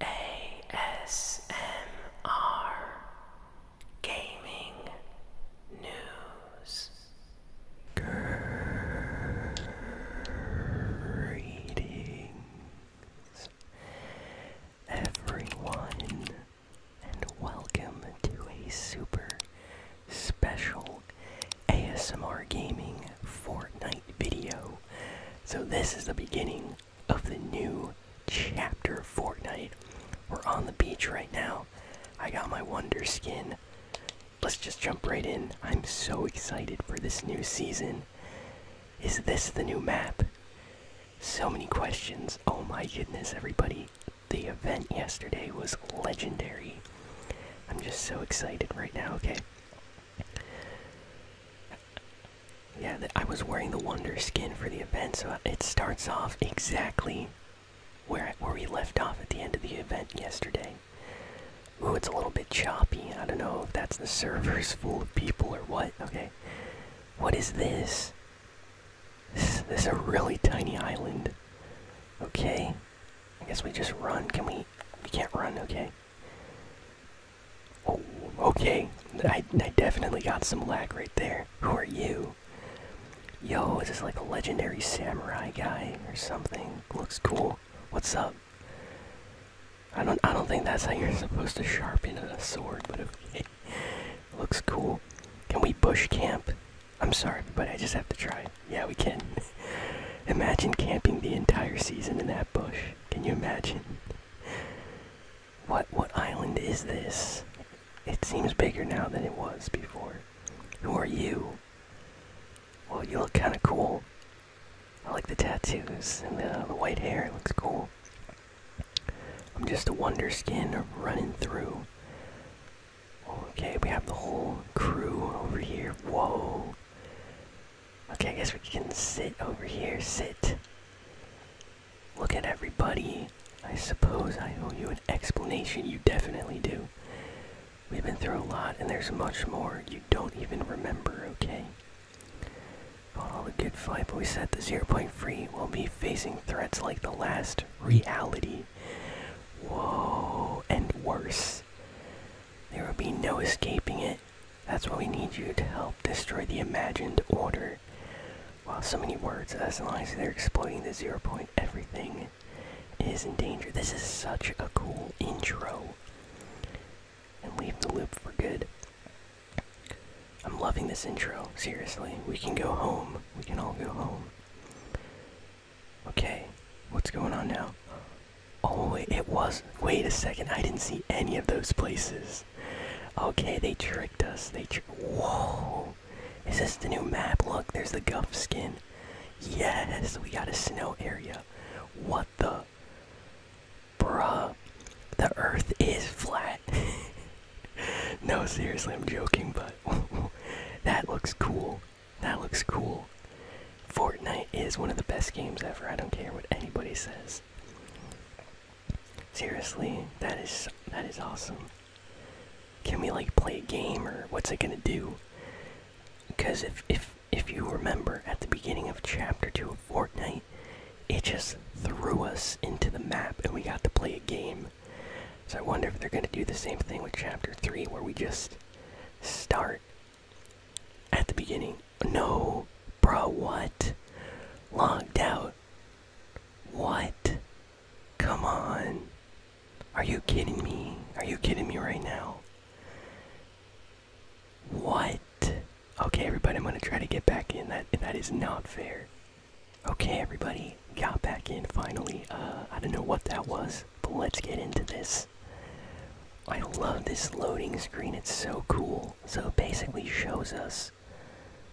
ASMR Gaming News. Greetings, everyone, and welcome to a super special ASMR Gaming Fortnite video. So, this is the beginning of the new chapter Fortnite. We're on the beach right now. I got my Wonder skin. Let's just jump right in. I'm so excited for this new season. Is this the new map? So many questions. Oh my goodness, everybody. The event yesterday was legendary. I'm just so excited right now. Okay. Yeah, I was wearing the Wonder skin for the event, so it starts off exactly where where we left off at the end of the event yesterday. Ooh, it's a little bit choppy. I don't know if that's the servers full of people or what. Okay, what is this? This, this is a really tiny island. Okay, I guess we just run. Can we? We can't run. Okay. Oh, okay. I, I definitely got some lag right there. Who are you? Yo, is this like a legendary samurai guy or something? Looks cool. What's up? I don't I don't think that's how you're supposed to sharpen a sword, but okay. Looks cool. Can we bush camp? I'm sorry, but I just have to try. Yeah, we can. Imagine camping the entire season in that bush. Can you imagine? What what island is this? It seems bigger now than it was before. Who are you? Well, you look kind of cool. I like the tattoos and the, the white hair. It looks cool. I'm just a wonder skin running through. Okay, we have the whole crew over here. Whoa. Okay, I guess we can sit over here. Sit. Look at everybody. I suppose I owe you an explanation. You definitely do. We've been through a lot, and there's much more you don't even remember, okay? Fought all the good fight, but we said the zero point free will be facing threats like the last reality. Whoa, and worse. There will be no escaping it. That's why we need you to help destroy the imagined order. While so many words, as long as they're exploiting the zero point, everything is in danger. This is such a cool intro. And leave the loop for good. I'm loving this intro, seriously. We can go home. We can all go home. Okay, what's going on now? Oh, it was. Wait a second. I didn't see any of those places. Okay, they tricked us. They tricked. Whoa. Is this the new map? Look, there's the guff skin. Yes, we got a snow area. What the? Bruh. The earth is flat. no, seriously, I'm joking, but that looks cool. That looks cool. Fortnite is one of the best games ever. I don't care what anybody says. Seriously, that is that is awesome. Can we like play a game or what's it gonna do? Because if if if you remember at the beginning of chapter two of Fortnite, it just threw us into the map and we got to play a game. So I wonder if they're gonna do the same thing with chapter three where we just start at the beginning. No, bro, what? Logged out. What? Come on. Are you kidding me? Are you kidding me right now? What? Okay, everybody, I'm gonna try to get back in. That that is not fair. Okay, everybody, got back in finally. Uh, I don't know what that was, but let's get into this. I love this loading screen, it's so cool. So it basically shows us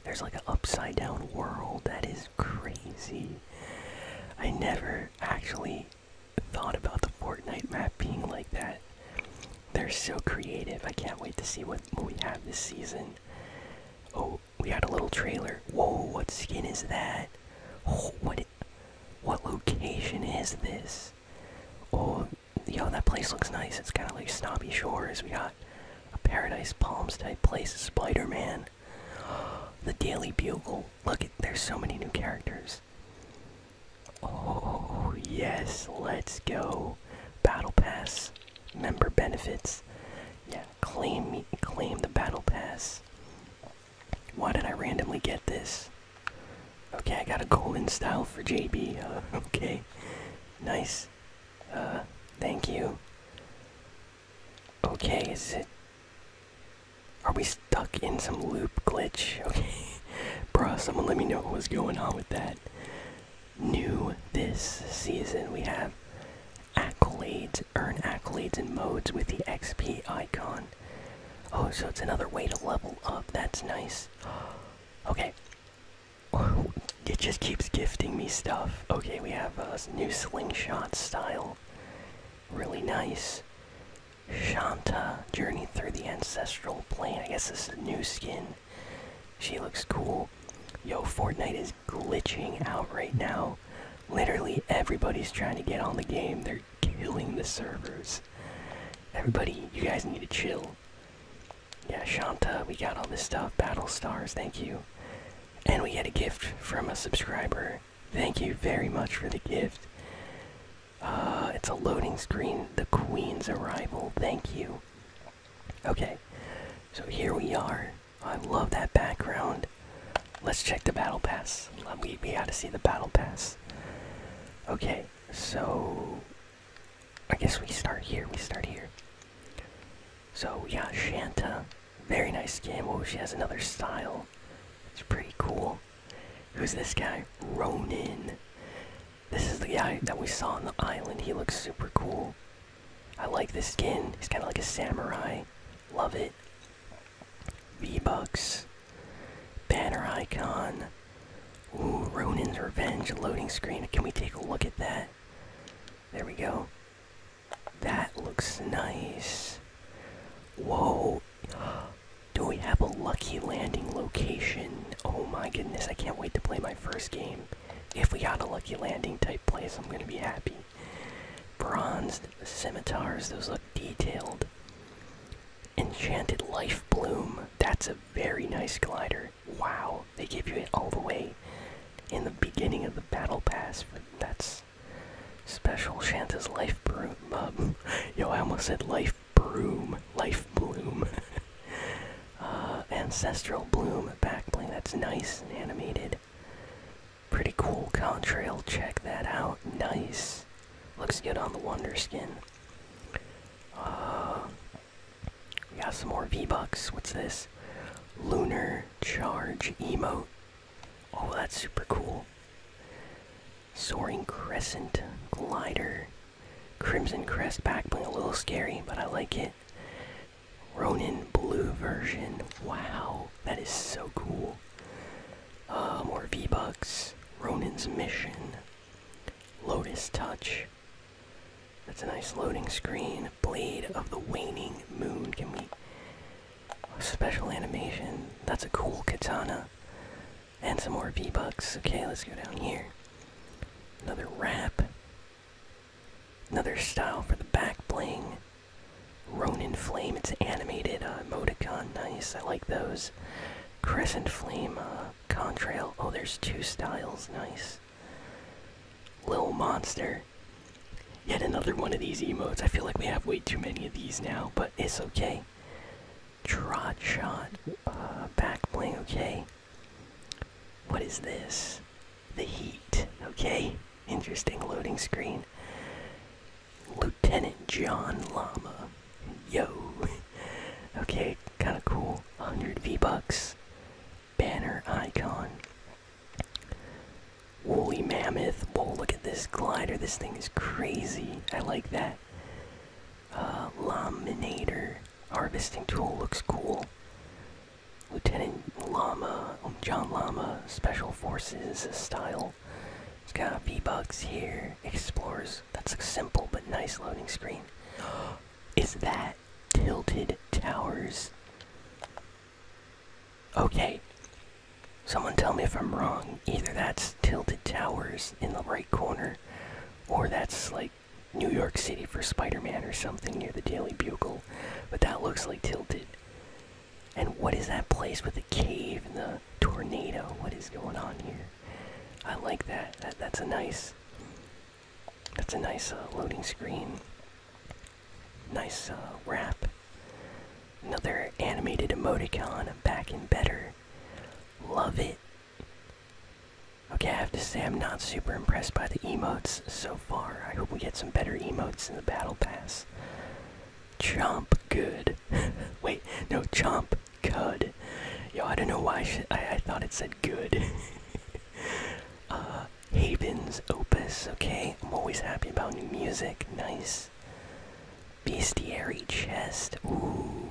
there's like an upside down world that is crazy. I never actually thought about the Fortnite map being like that. They're so creative. I can't wait to see what, we have this season. Oh, we had a little trailer. Whoa, what skin is that? Oh, what? location is this? Oh, yo, that place looks nice. It's kind of like Snobby Shores. We got a Paradise Palms type place. Spider Man. The Daily Bugle. Look, there's so many new characters. Oh, yes, let's go. Battle Pass. Member benefits. Yeah, claim, claim the Battle Pass. Why did I randomly get this? Okay, I got a golden style for JB. okay, nice. Uh, thank you. Okay, is it. Are we stuck in some loop glitch? Okay. bro, someone let me know what was going on with that. New this season, we have accolades. Earn accolades and modes with the XP icon. Oh, so it's another way to level up. That's nice. Okay. It just keeps gifting me stuff. Okay, we have a new slingshot style. Really nice. Shanta, Journey Through the Ancestral Plane. I guess this is a new skin. She looks cool. Yo, Fortnite is glitching out right now. Literally everybody's trying to get on the game. They're killing the servers. Everybody, you guys need to chill. Yeah, Shanta, we got all this stuff. Battle stars, thank you. And we get a gift from a subscriber. Thank you very much for the gift. Uh, it's a loading screen. The Queen's arrival. Thank you. Okay, so here we are. I love that background. Let's check the battle pass. We, we to see the battle pass. Okay, so. I guess we start here. We start here. So we got Shanta. Very nice game. Oh, she has another style. It's pretty cool. Who's this guy? Ronin. This is the guy that we saw on the island. He looks super cool. I like this skin. He's kind of like a samurai. Love it. V-Bucks, banner icon. Ooh, Ronin's Revenge loading screen. Can we take a look at that? There we go. That looks nice. Whoa. Do we have a lucky landing location? Oh my goodness, I can't wait to play my first game. If we got a lucky landing type place, I'm gonna be happy. Bronzed scimitars, those look detailed. Enchanted Life Bloom. That's a very nice glider. Wow, they gave you it all the way in the beginning of the battle pass. that's special. Shanta's Life Bloom. Um, yo, I almost said Life Broom. Life Bloom. Uh, Ancestral Bloom back bling. That's nice and animated. Pretty cool contrail, check that out. Nice. Looks good on the Wonder Skin. Uh, we got some more V-Bucks. What's this? Lunar Charge Emote. Oh, that's super cool. Soaring Crescent Glider. Crimson Crest backbling, a little scary, but I like it. Ronin Blue version. Wow, that is so cool. Ah, more V-Bucks. Ronin's Mission. Lotus Touch. That's a nice loading screen. Blade of the Waning Moon. Can a Special animation. That's a cool katana. And some more V-Bucks. Okay, let's go down here. Another wrap. Another style for the back bling. Ronin Flame, it's animated uh, Modicon, nice. I like those. Crescent Flame, uh, Contrail. Oh, there's two styles, nice. Little Monster. Yet another one of these emotes. I feel like we have way too many of these now, but it's okay. Trot Shot, uh, back bling, okay. What is this? The Heat, okay. Interesting loading screen. Lieutenant John Lama, Yo. Okay, kind of cool. 100 V-Bucks. Banner icon. Woolly Mammoth. Whoa, look at this glider. This thing is crazy. I like that. Uh, laminator. Harvesting tool looks cool. Lieutenant Llama, John Lama, Special Forces style it's got v bugs here. Explorers. That's a simple but nice loading screen. Is that Tilted Towers? Okay. Someone tell me if I'm wrong. Either that's Tilted Towers in the right corner, or that's like New York City for Spider Man or something near the Daily Bugle. But that looks like Tilted. And what is that place with the cave and the tornado? What is going on here? I like that. that's a nice. That's a nice uh, loading screen. Nice uh, wrap. Another animated emoticon. i back in better. Love it. Okay, I have to say I'm not super impressed by the emotes so far. I hope we get some better emotes in the battle pass. Chomp good. Wait, no, chomp cud. Yo, I don't know why I, I thought it said good. uh, Haven's Opus, okay. I'm always happy about new music. Nice. Bestiary Chest. Ooh,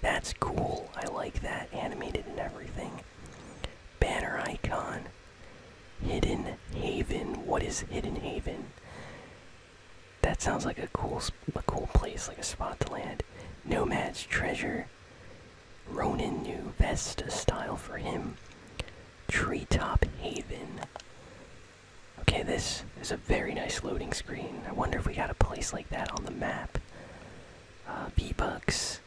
that's cool. I like that. Animated and everything. Banner Icon. Hidden Haven. What is Hidden Haven? That sounds like a cool, a cool place, like a spot to land. Nomad's treasure. Ronin new Vesta style for him. Treetop Haven. Okay, this is a very nice loading screen. I wonder if we got a place like that on the map. Uh, V-Bucks.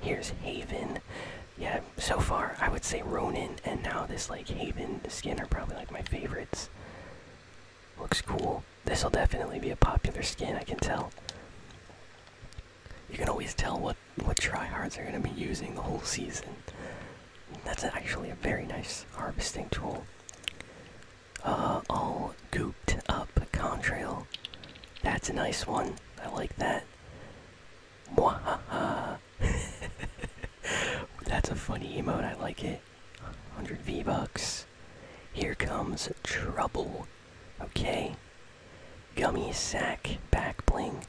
Here's Haven yeah, so far I would say Ronin and now this like Haven skin are probably like my favorites. Looks cool. This'll definitely be a popular skin, I can tell. You can always tell what what tryhards are gonna be using the whole season. That's actually a very nice harvesting tool. Uh, all gooped up contrail. That's a nice one. I like that. Mwahaha. That's a funny emote. I like it. 100 V bucks. Here comes trouble. Okay. Gummy sack back bling.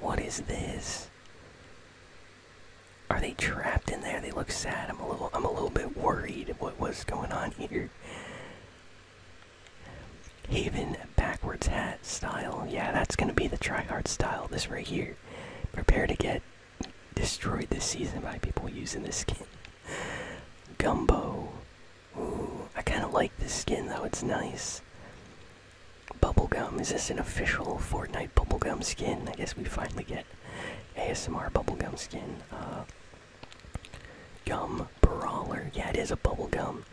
What is this? Are they trapped in there? They look sad. I'm a little. I'm a little bit worried. What was going on here? Haven backwards hat style. Yeah, that's gonna be the tryhard style. This right here. Prepare to get destroyed this season by people using this skin. Gumbo. Ooh, I kind of like this skin though. It's nice. Bubblegum. Is this an official Fortnite bubblegum skin? I guess we finally get ASMR bubblegum skin. Uh, gum brawler. Yeah, it is a bubblegum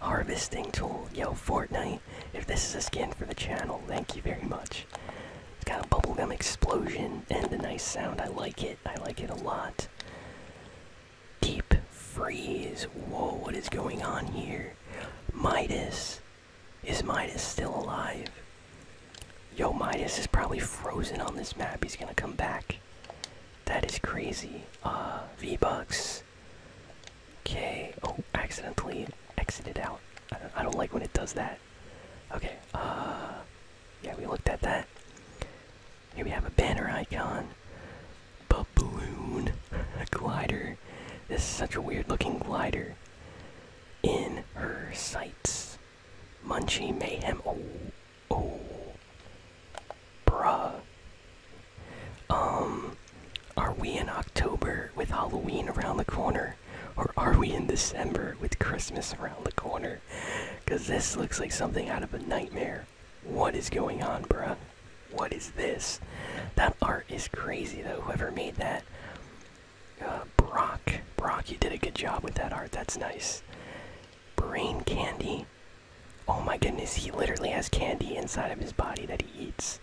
harvesting tool. Yo, Fortnite, if this is a skin for the channel, thank you very much. It's got a bubblegum explosion and a nice sound. I like it. I like it a lot. Deep freeze. Whoa, what is going on here? Midas. Is Midas still alive? Yo, Midas is probably frozen on this map. He's gonna come back. That is crazy. Uh, V-Bucks. Okay. Oh, accidentally exited out. I don't, like when it does that. Okay. Uh, yeah, we looked at that. Here we have a banner icon, balloon, a glider. This is such a weird-looking glider. In her sights, Munchie Mayhem. Oh, oh, bruh. Um, are we in October with Halloween around the corner? Or are we in December with Christmas around the corner? Because this looks like something out of a nightmare. What is going on, bro? What is this? That art is crazy, though, whoever made that. Uh, Brock. Brock, you did a good job with that art. That's nice. Brain candy. Oh my goodness, he literally has candy inside of his body that he eats.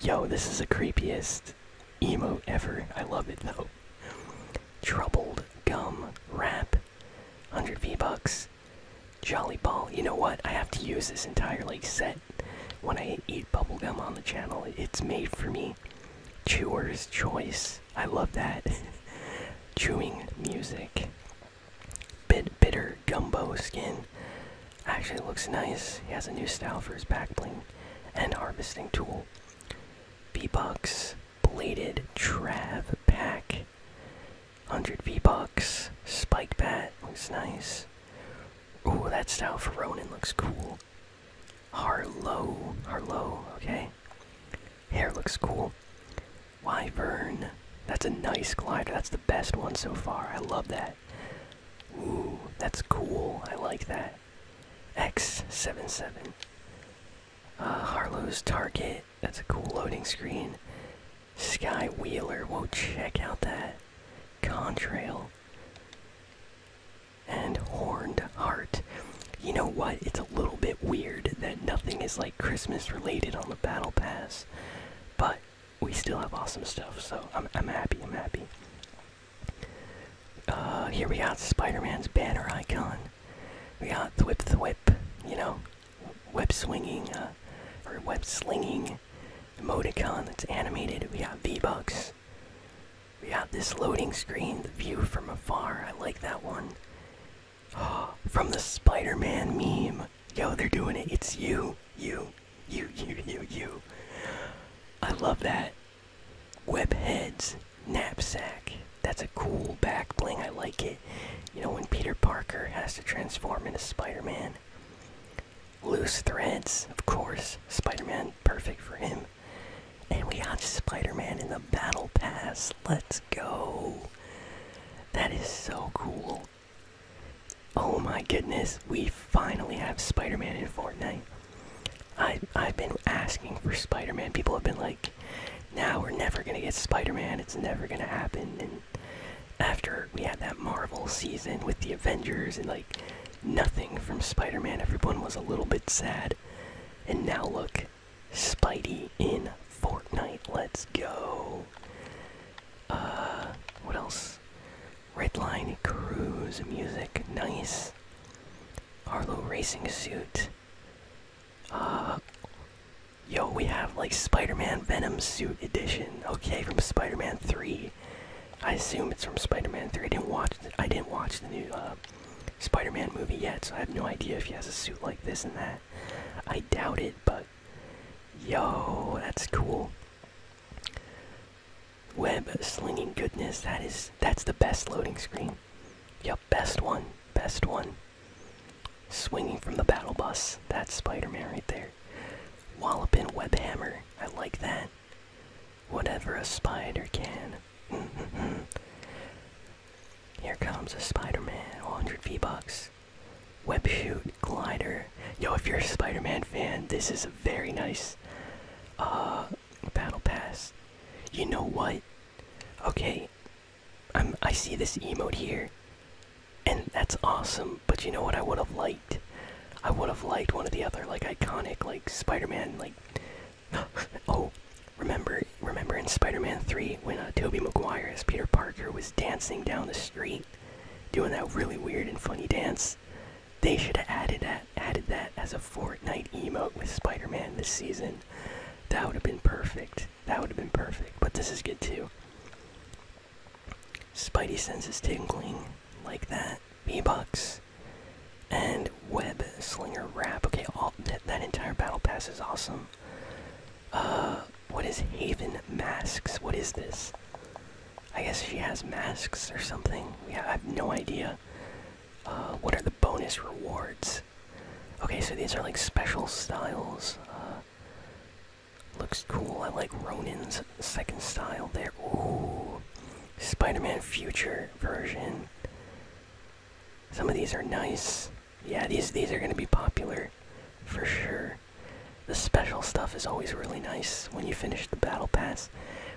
Yo, this is the creepiest emo ever. I love it though. Troubled gum wrap. 100 V-Bucks. Jolly Ball. You know what? I have to use this entire like set when I eat bubblegum on the channel. It's made for me. Chewer's choice. I love that. Chewing music. Bit bitter gumbo skin. Actually looks nice. He has a new style for his back bling and harvesting tool. V-Bucks, bladed Trav pack. 100 V-Bucks, spike bat, looks nice. Ooh, that style for Ronin looks cool. Harlow, Harlow, okay. Hair looks cool. Why Vern? That's a nice glider. That's the best one so far. I love that. Ooh, that's cool. I like that. X77. Uh, Harlow's Target. That's a cool loading screen. Sky Wheeler. Whoa, check out that. Contrail. And Horned Heart. You know what? It's a little bit weird that nothing is like Christmas related on the Battle Pass. But we still have awesome stuff, so I'm, I'm happy, I'm happy. Uh, here we got Spider-Man's banner icon. We got the whip you know, web swinging, uh, or web slinging emoticon that's animated. We got V-Bucks. We got this loading screen, the view from afar. I like that one. From the Spider Man meme. Yo, they're doing it. It's you. You. You, you, you, you. I love that. Webhead's knapsack. That's a cool back bling. I like it. You know, when Peter Parker has to transform into Spider Man. Loose threads, of course. Spider Man, perfect for him. And we got Spider Man in the Battle Pass. Let's go. That is so cool. Oh my goodness, we finally have Spider-Man in Fortnite. I I've been asking for Spider-Man. People have been like, now we're never gonna get Spider-Man, it's never gonna happen and after we had that Marvel season with the Avengers and like nothing from Spider-Man, everyone was a little bit sad. And now look, Spidey in Fortnite. Let's go. Uh, what else? Redline Cruise music. Nice. Arlo Racing Suit. Uh, yo, we have like Spider Man Venom Suit Edition. Okay, from Spider Man 3. I assume it's from Spider Man 3. I didn't watch. The, I didn't watch the new uh, Spider Man movie yet, so I have no idea if he has a suit like this and that. I doubt it, but yo, that's cool. Web slinging goodness, that is that's the best loading screen. Yep, best one, best one. Swinging from the battle bus, that's Spider-Man right there. Walloping web hammer, I like that. Whatever a spider can. Here comes a Spider-Man, 100 V-Bucks. Web shoot glider. Yo, if you're a Spider-Man fan, this is a very nice uh, battle pass. You know what? Okay, I'm. I see this emote here, and that's awesome. But you know what? I would have liked. I would have liked one of the other like iconic like Spider-Man like. oh, remember remember in Spider-Man 3 when uh, Toby McGuire as Peter Parker was dancing down the street, doing that really weird and funny dance. They should have added that, added that as a Fortnite emote with Spider-Man this season. That would have been perfect. That would have been perfect. But this is good too. Spidey senses tingling like that. V-Bucks and Web Slinger Wrap. Okay, all that entire battle pass is awesome. Uh, what is Haven Masks? What is this? I guess she has masks or something. Yeah, I have no idea. Uh, what are the bonus rewards? Okay, so these are like special styles. Uh, looks cool. I like Ronin's second style there. Ooh, Spider-Man Future version. Some of these are nice yeah, these these are gonna be popular for sure. The special stuff is always really nice when you finish the battle pass.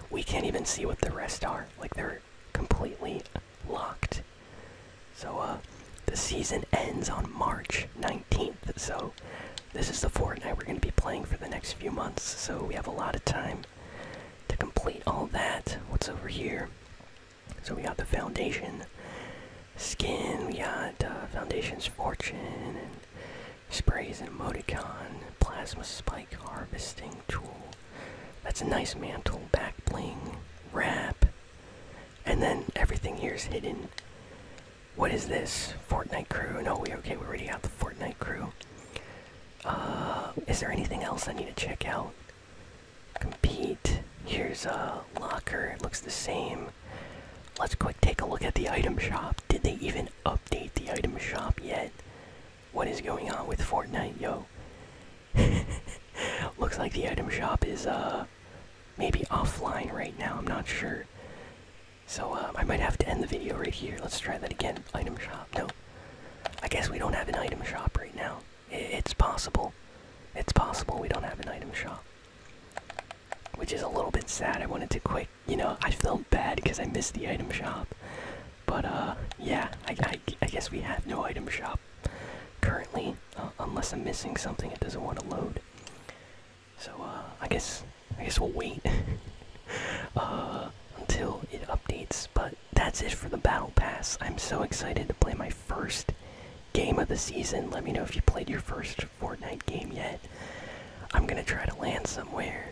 We can't even see what the rest are. Like they're completely locked. So uh, the season ends on March 19th, so this is the Fortnite we're gonna be playing for the next few months, so we have a lot of time to complete all that. What's over here? So we got the foundation skin, we got uh, foundation's fortune, sprays and emoticon, plasma spike harvesting tool. That's a nice mantle, back bling, wrap, and then everything here is hidden. What is this? Fortnite crew? No, we okay. We already got the Fortnite crew. Uh, is there anything else I need to check out? Compete. Here's a locker. It looks the same. Let's quick take a look at the item shop. Did they even update the item shop yet? What is going on with Fortnite, yo? looks like the item shop is uh maybe offline right now. I'm not sure. So uh, I might have to end the video right here. Let's try that again. Item shop. No. I guess we don't have an item shop right now. It's possible. It's possible we don't have an item shop. Which is a little bit sad. I wanted to quit. You know, I felt bad because I missed the item shop. But, uh, yeah, I, I, guess we have no item shop currently. Uh, unless I'm missing something, it doesn't want to load. So, uh, I guess, I guess we'll wait. uh, until it updates. But that's it for the Battle Pass. I'm so excited to play my first game of the season. Let me know if you played your first Fortnite game yet. I'm gonna try to land somewhere.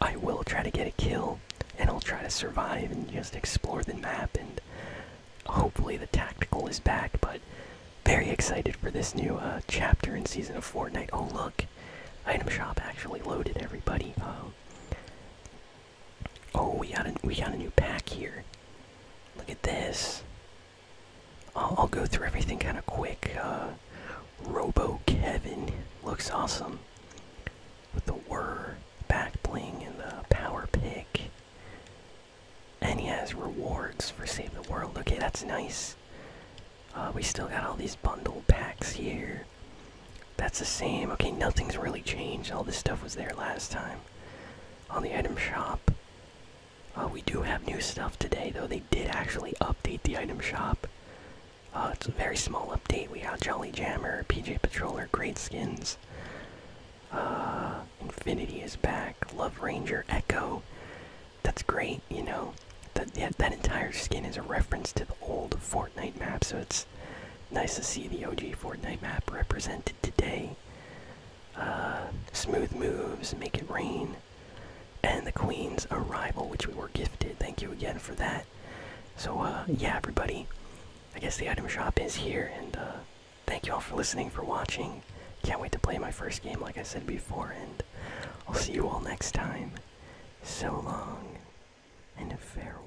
I will try to get a kill, and I'll try to survive and just explore the map. And hopefully, the tactical is back. But very excited for this new uh, chapter and season of Fortnite. Oh look, item shop actually loaded everybody. Uh, Oh, we got a we got a new pack here. Look at this. I'll, I'll go through everything kind of quick. Uh, Robo Kevin looks awesome with the whir back bling and the power pick. And he has rewards for save the world. Okay, that's nice. Uh, we still got all these bundle packs here. That's the same. Okay, nothing's really changed. All this stuff was there last time on the item shop. Uh, we do have new stuff today, though. They did actually update the item shop. Uh, it's a very small update. We got Jolly Jammer, PJ Patroller, Great Skins. Uh, Infinity is back. Love Ranger, Echo. That's great, you know. that, that entire skin is a reference to the old Fortnite map, so it's nice to see the OG Fortnite map represented today. Uh, smooth moves, make it rain, and the Queen's arrival, which we were gifted. Thank you again for that. So, uh, yeah, everybody, I guess the item shop is here, and uh, thank you all for listening, for watching. Can't wait to play my first game, like I said before, and I'll see you all next time. So long, and farewell.